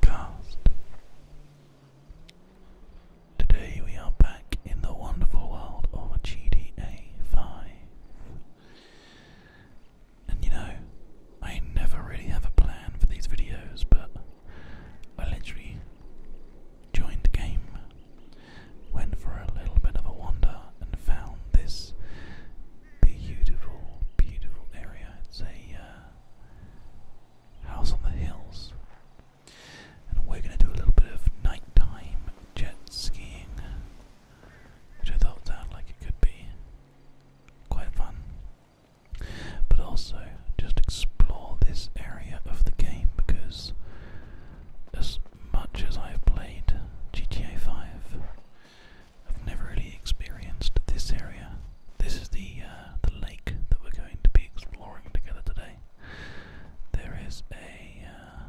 Cast. Today we are back in the wonderful world of GTA 5. And you know, I never really have a plan for these videos, but I literally joined game, went for a little bit of a wander, and found this beautiful, beautiful area. It's a uh, house on the hills. And we're going to do a little bit of nighttime jet skiing, which I thought sounded like it could be quite fun. But also, just explore this area of the game because, as much as I've played GTA 5, I've never really experienced this area. This is the uh, the lake that we're going to be exploring together today. There is a uh,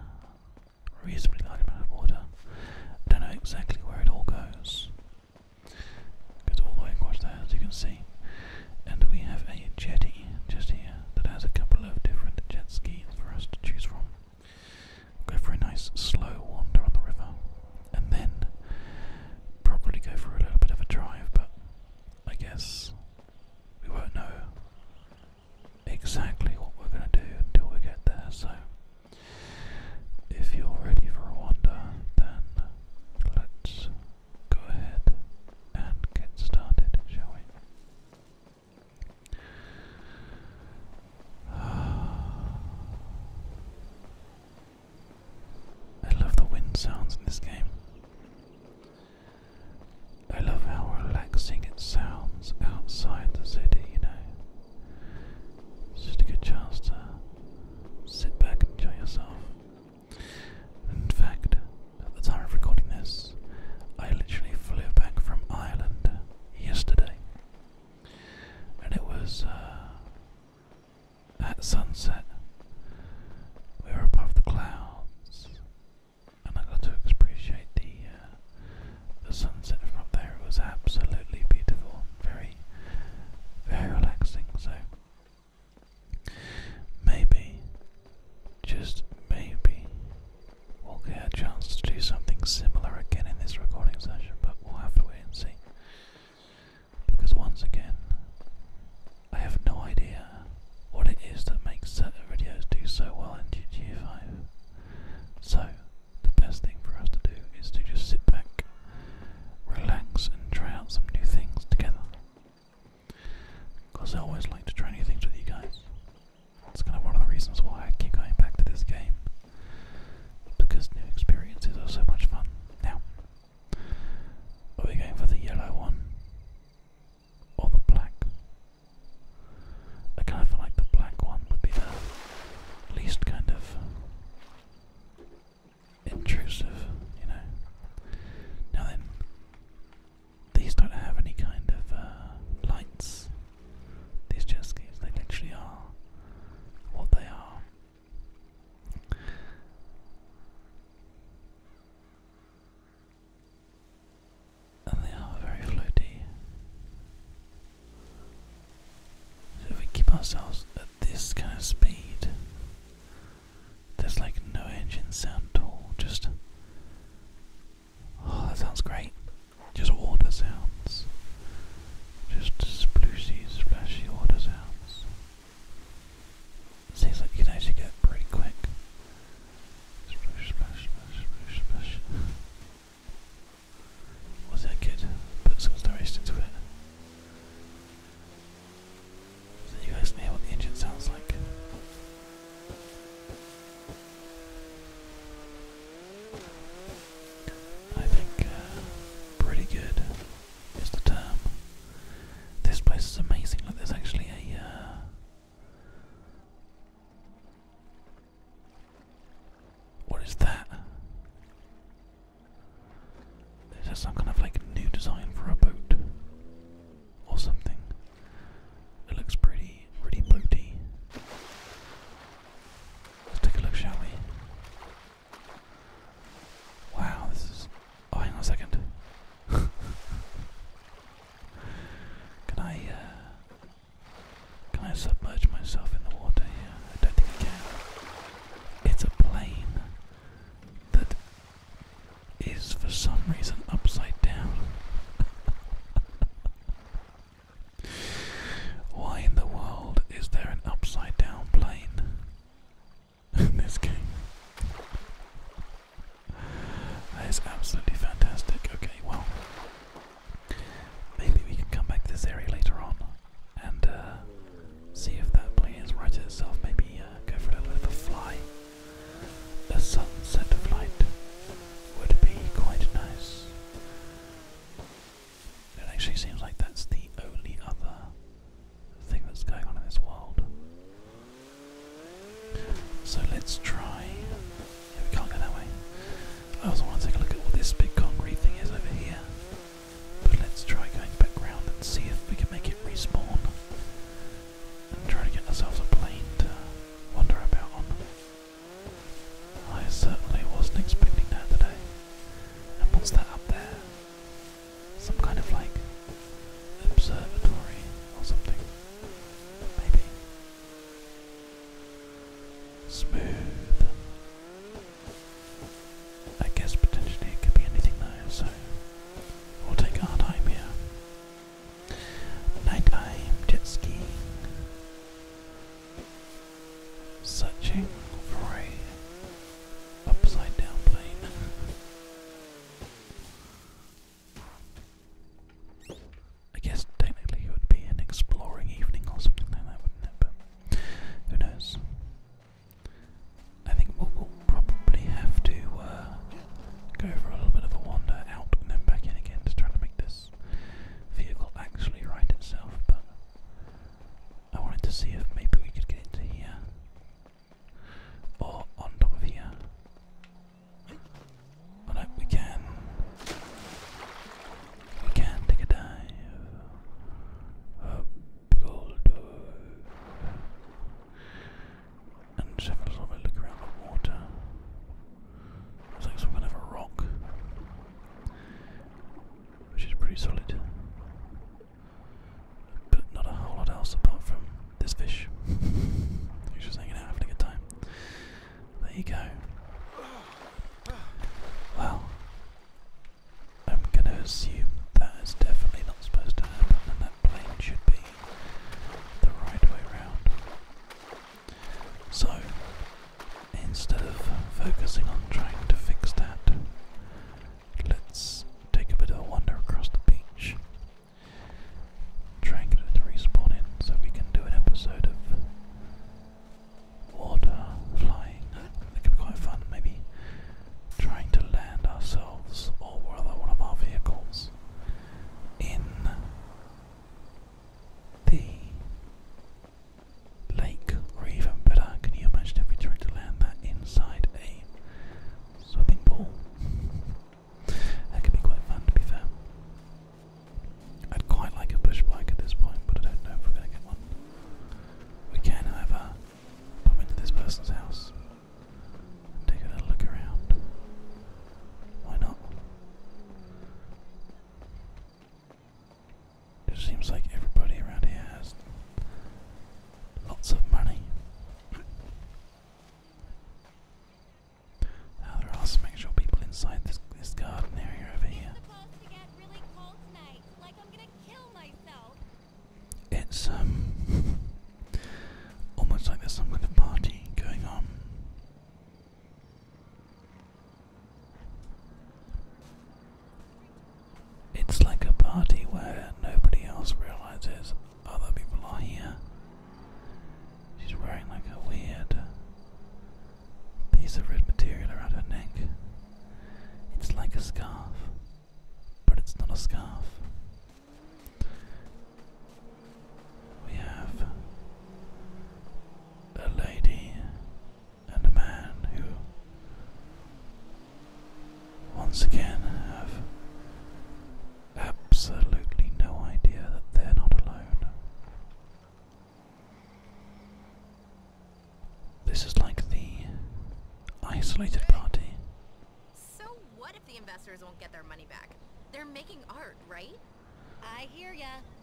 reasonably large amount of water. I don't know exactly where it all goes. goes all the way across there, as you can see. And we have a jetty just here that has a couple of different jet skis for us to choose from go for a nice slow wander on the river, and then probably go for a little bit of a drive, but I guess we won't know exactly what we're going to do until we get there, so if you're ready for a wander, then let's go ahead and get started, shall we? I love the wind sounds in this game. I love how relaxing it sounds outside the city, you know. It's just a good chance to sit back and enjoy yourself. In fact, at the time of recording this, I literally flew back from Ireland yesterday and it was uh, at sunset. We were above the clouds, and I got to appreciate the uh, the sunset from there. It was absolutely beautiful, very, very relaxing. So. Maybe, just maybe, we'll get a chance to do something similar again in this recording session, but we'll have to wait and see. Because once again, I have no idea what it is that makes certain videos do so well in GTA 5. So, the best thing for us to do is to just sit back, relax, and try out some new things together. Because I always like to try new things with you guys. It's kind of one of the reasons why I keep going back to this game because new experiences are so much fun. Now, are we going for the yellow one or the black? I kind of feel like the black one would be the least kind of intrusive, you know. Now then, these don't have any kind of uh, lights. These jet skis, they literally are what they are. And they are very floaty. if we keep ourselves at this kind of speed, there's like no engine sound at all, just Oh, that sounds great. Just water sounds just splooshies, splashy water sounds. Seems like you can actually get pretty quick. Sploosh, splash, splash, sploosh, splash. Was that kid? Put some narration into it. you guys can hear what the engine sounds like. I think uh, pretty good is the term. This place is amazing. Look, there's actually a. Uh, what is that? Is that some kind of like new design for a boat or something? It looks pretty, pretty boaty. Let's take a look, shall we? Wow, this is. Oh, hang on a second. can I, uh, Can I submerge myself in the water here? I don't think I can. It's a plane that is for some reason upside down. Why in the world is there an upside down plane in this game? That is absolutely fantastic. Okay, well, maybe we can come back to this area later on and uh, see if that plane is right itself. Maybe uh, go for a little of a fly. A sunset flight would be quite nice. It actually seems like that's the only other thing that's going on in this world. So let's try. we can't go that way. I also want to take a look at what this big concrete thing is over here. But let's try going back round and see if we can make it respawn. And try to get ourselves a plane to wander about on. I certainly wasn't expecting that today. And what's that up there? Some kind of like observatory or something. Maybe. Smooth. I guess potentially it could be anything though, so we'll take our time here. Nighttime jet skiing searching for a upside down plane. I guess technically it would be an exploring evening or something like that, wouldn't it? But who knows? I think we'll, probably have to uh, go for a little bit of a wander out and then back in again to try to make this vehicle actually right itself, but I wanted to see if maybe we could get into here. Or on top of here. Oh no, we can. We can take a dive. A bulldoze. And just have a look around the water. Looks like some kind of a rock which is pretty solid. But not a whole lot else apart from this fish. He's just hanging out having a good time. There you go. Well, I'm gonna assume that is definitely not supposed to happen, and that plane should be the right way round. So, instead of focusing on trying to fix that, let's take a bit of a wander across the beach. Try and get it to respawn in so we can do an episode of water flying. That could be quite fun, maybe trying to land ourselves or rather one of our vehicles in the lake, or even better, can you imagine if we tried to land that inside a swimming pool? that could be quite fun, to be fair. I'd quite like a bush bike at this point, but I don't know if we're going to get one. We can, however, pop into this person's house and take a little look around. Why not? It seems like everybody around here has lots of money. Now there are some actual people inside this this garden area over here. it's um almost like there's some kind of party going on. It's like a party where nobody else realizes other people are here. She's wearing like a weird piece of red material around her neck. It's like a scarf, but it's not a scarf. We have a lady and a man who once again have absolutely no idea that they're not alone. This is like the isolated party. So what if the investors won't get their money back? They're making art, right? I hear ya.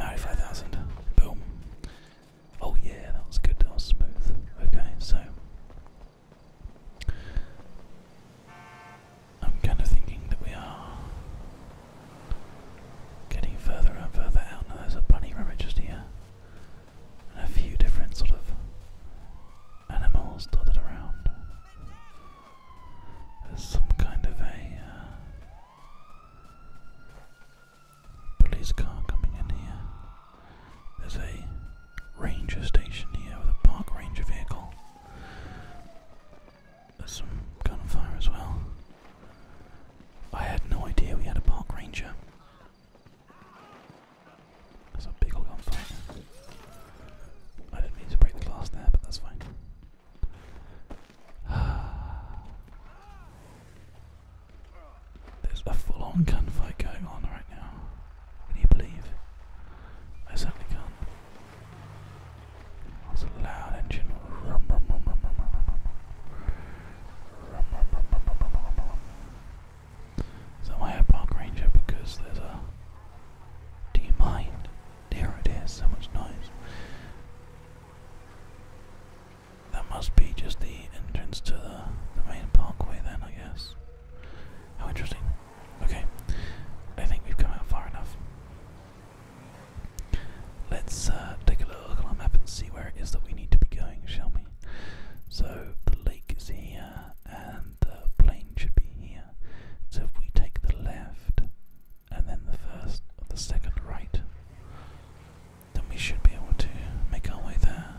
i 5,000. Boom. Oh, yeah, that was good. That was smooth. Okay, so. I'm kind of thinking that we are getting further and further out. Now, there's a bunny rabbit just here, and a few different sort of animals dotted around. There's some kind of a uh, police car coming in here. There's a ranger station here with a park ranger vehicle. There's some gunfire as well. I had no idea we had a park ranger. That's a big old gunfight. I didn't mean to break the glass there, but that's fine. There's a full on gunfight going on right now. Can you believe? I certainly can't. That's a loud engine. Rum, rum, rum, Park Ranger? Because there's a. Do you mind? There it is. so much noise. That must be just the entrance to the, main parkway then, I guess. How interesting. Okay, I think we've come out far enough. Let's uh, take a look on our map and see where it is that we need to be going, shall we? So the lake is here, and the plane should be here. So if we take the left and then the first or the second right, then we should be able to make our way there.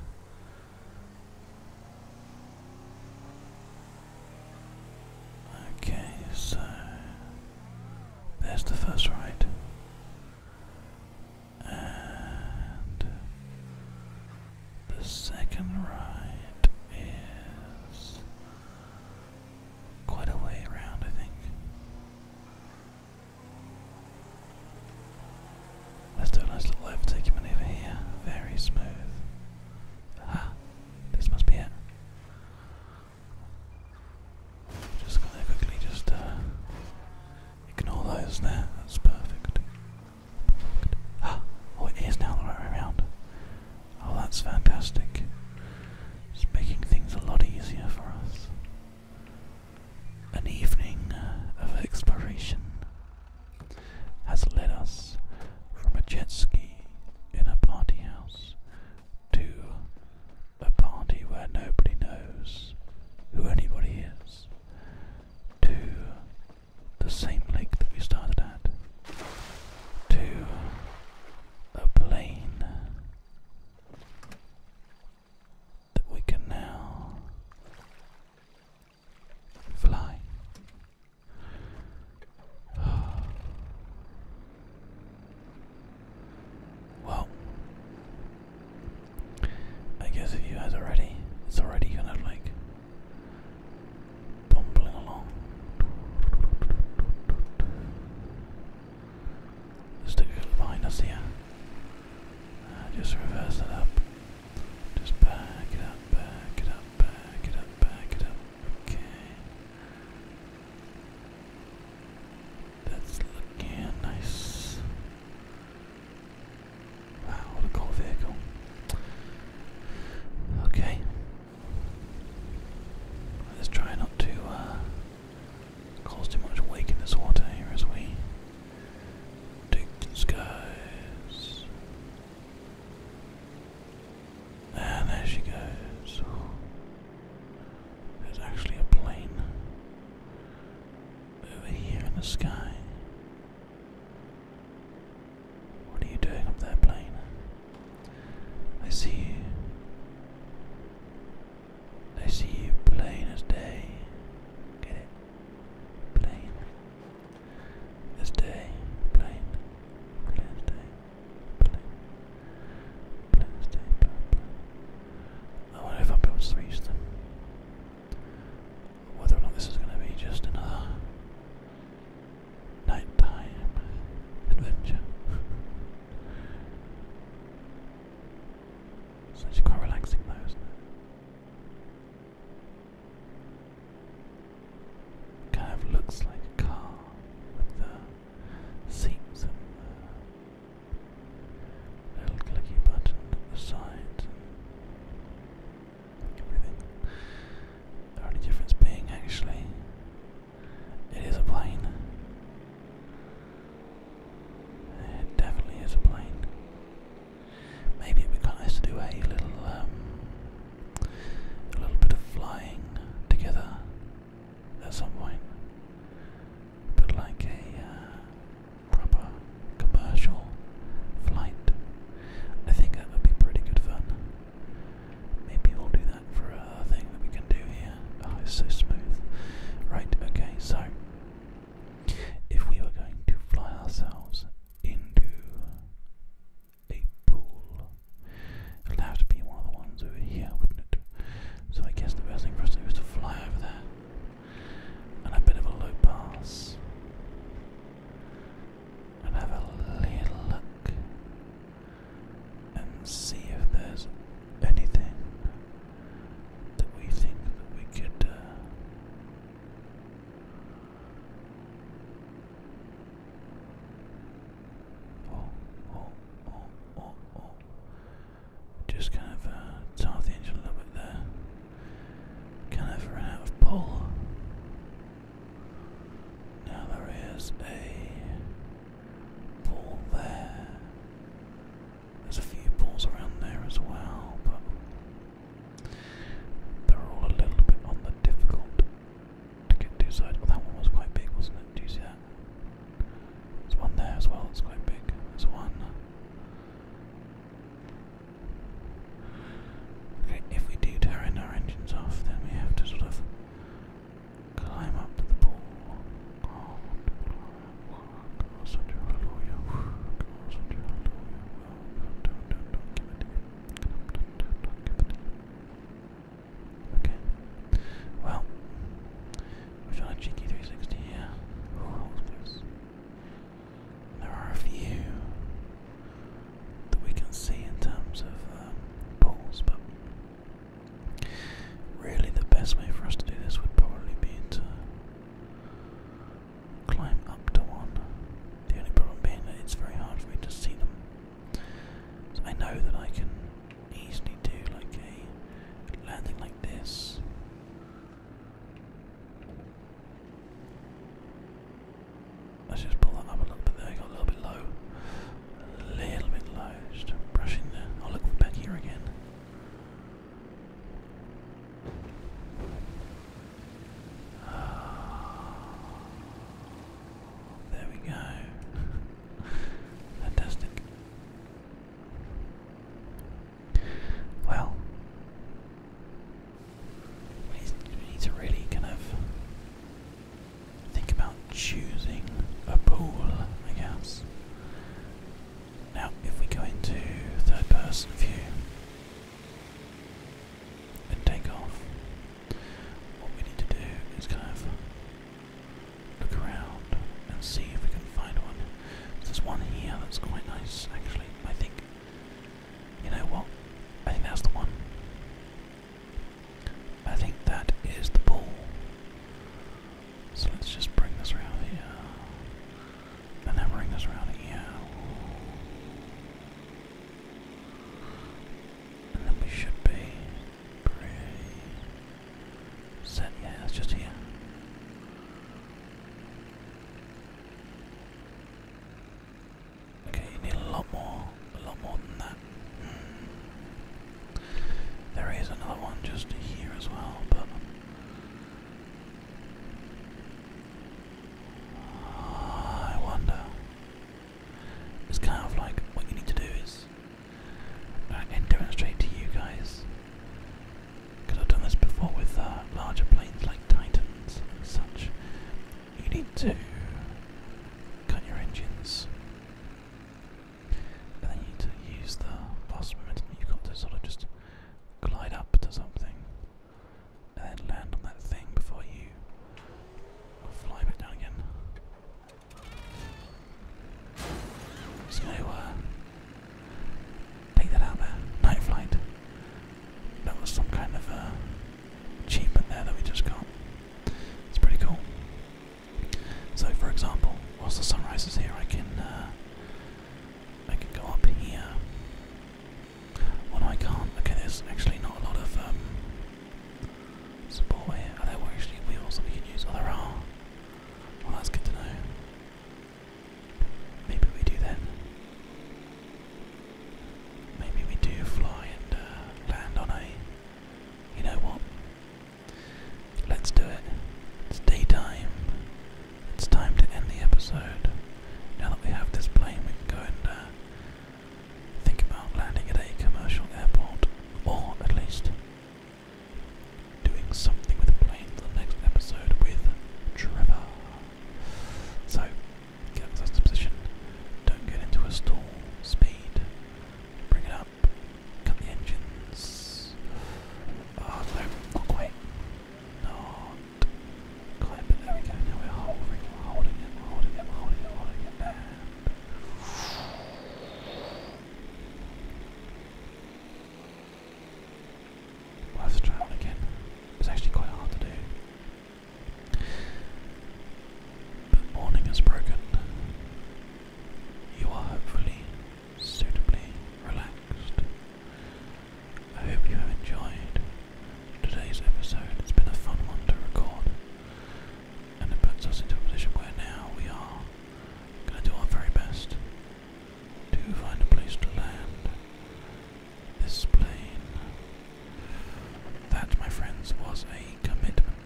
Okay, so there's the first right. And the second right is quite a way around, I think. Let's do a nice little overtaking maneuver here. Very smooth. Aha! This must be it. Just gonna quickly just uh, ignore those there. That's perfect. Ah! Oh, it is now the right way around. Oh, that's fantastic. It's making things a lot easier for us. An evening uh, of exploration has led us from a jet ski in a party house to a party where nobody knows who anybody is to the same lake that we started at to a plane that we can now fly. Well, I guess if you guys already, it's already kind of like bumbling along. let behind us here. Uh, just reverse it up. Just back it up, back it up, back it up, back it up. Okay. That's looking nice. Wow, what a cool vehicle. Okay, Let's try not to uh, cause too much wake in this water here as we dig the skies. And there she goes. There's actually a plane over here in the sky. What are you doing up there, plane? I see you. I see you plain as day. Get it? Plain. As day. Plain. Plain as day. Plain. Plain as day. Plain, plain. I wonder if I'll be able to reach them. Whether or not this is going to be just another nighttime adventure. it's actually quite relaxing though, Kind of looks like a car with the seats and little clicky button at the side. The only difference being actually, it is a plane. It definitely is a plane. Maybe it'd be nice to do a little, um, a little bit of flying together at some point, but like a uh, proper commercial flight. I think that would be pretty good fun. Maybe we'll do that for a thing that we can do here. Oh, so smooth. Right, okay, so if we were going to fly ourselves into a pool, it'll have to be one of the ones over here, wouldn't it? So I guess the best thing for us to do is to fly over there. And a bit of a low pass and have a little look and see if there's anything that we think that we could uh, Just kind of uh, off the engine a little bit there. Kind of ran out pull. Now there is a pool there. There's a few pools around there as well, but they're all a little bit on the difficult to get to sides. Well, that one was quite big, wasn't it? Do you see that? There's one there as well, it's quite big. There's one. If we do turn our engines off, then we have to sort of climb up the pole. Okay. Well, we've done cheeky 360 there are a few that we can see in terms of um, pools, but really the best way for us to do this would probably be to climb up to one. The only problem being that it's very hard for me to see them. I know that I can easily do like a landing like this. Let's just pull that up a little bit there, got a little bit low. A little bit low, just brush in there. Oh look, back here again. There we go. Fantastic. Well, we need to really kind of think about choosing a pool, I guess. Now, if we go into third person view and take off, what we need to do is kind of look around and see if we can find one. There's one here that's quite nice, actually. I think. You know what? I think that's the one. I think that is the ball. So let's just bring this around here. And then bring this around here. And then we should be set. Yeah, it's just here. Okay, you need a lot more, a lot more than that. Hmm. There is another one just here as well, but I wonder. It's kind of like what you need to do is uh, and demonstrate to you guys, because I've done this before with uh, larger planes like Titans such you need to cut your engines. And then you need to use the past momentum you've got to sort of just glide up to something and then land on that thing before you fly back down again. So, uh, take that out there. Night flight. That was some kind of uh, achievement there that we just got. It's pretty cool. So, for example, whilst the sun rises here, I can uh, I can go up here. Oh I can't. Okay, there's actually not a lot of um, support here. Are there actually wheels that we can use? Oh, there are. Well, that's good to know. Maybe we do then. Maybe we do fly and uh, land on a. You know what? Let's do it. It's daytime. It's time to end the episode. Now that we have this plane, we can go and uh, think about landing at a commercial airport, or at least doing something with a plane for the next episode with Trevor. So. Get into position. Don't get into a stall. Speed. Bring it up. Cut the engines. Oh no, not quite. Not there we go. Now we're hovering, we holding it, holding it, holding it, holding it. And we again. It's actually quite hard to do. But morning is broken. You are hopefully suitably relaxed. I hope you have enjoyed today's episode. It's been a fun one to record. And it puts us into a position where now we are going to do our very best to find a place to land this plane that, my friends, was a commitment.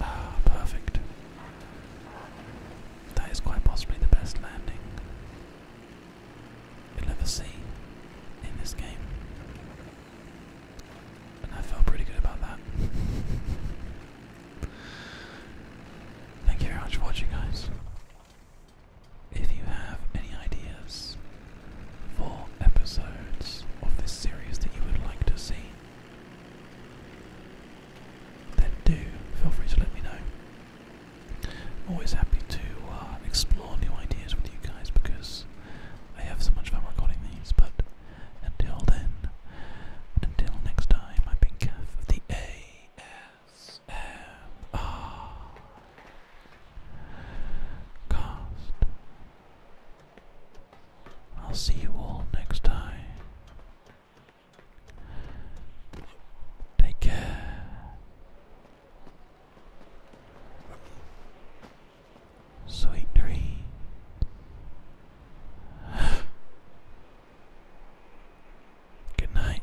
Ah, perfect. That is quite possibly the best landing you'll ever see in this game. And I felt pretty good about that. Thank you very much for watching, guys. If you have any ideas for episodes of this series that you would like to see, then do feel free to let me know. I'm always happy to uh, explore new ideas with you guys because I have so much fun recording these. But until then, until next time, I've been Kath of the ASMR cast. I'll see you all next time. Take care. Sweet dream. Good night.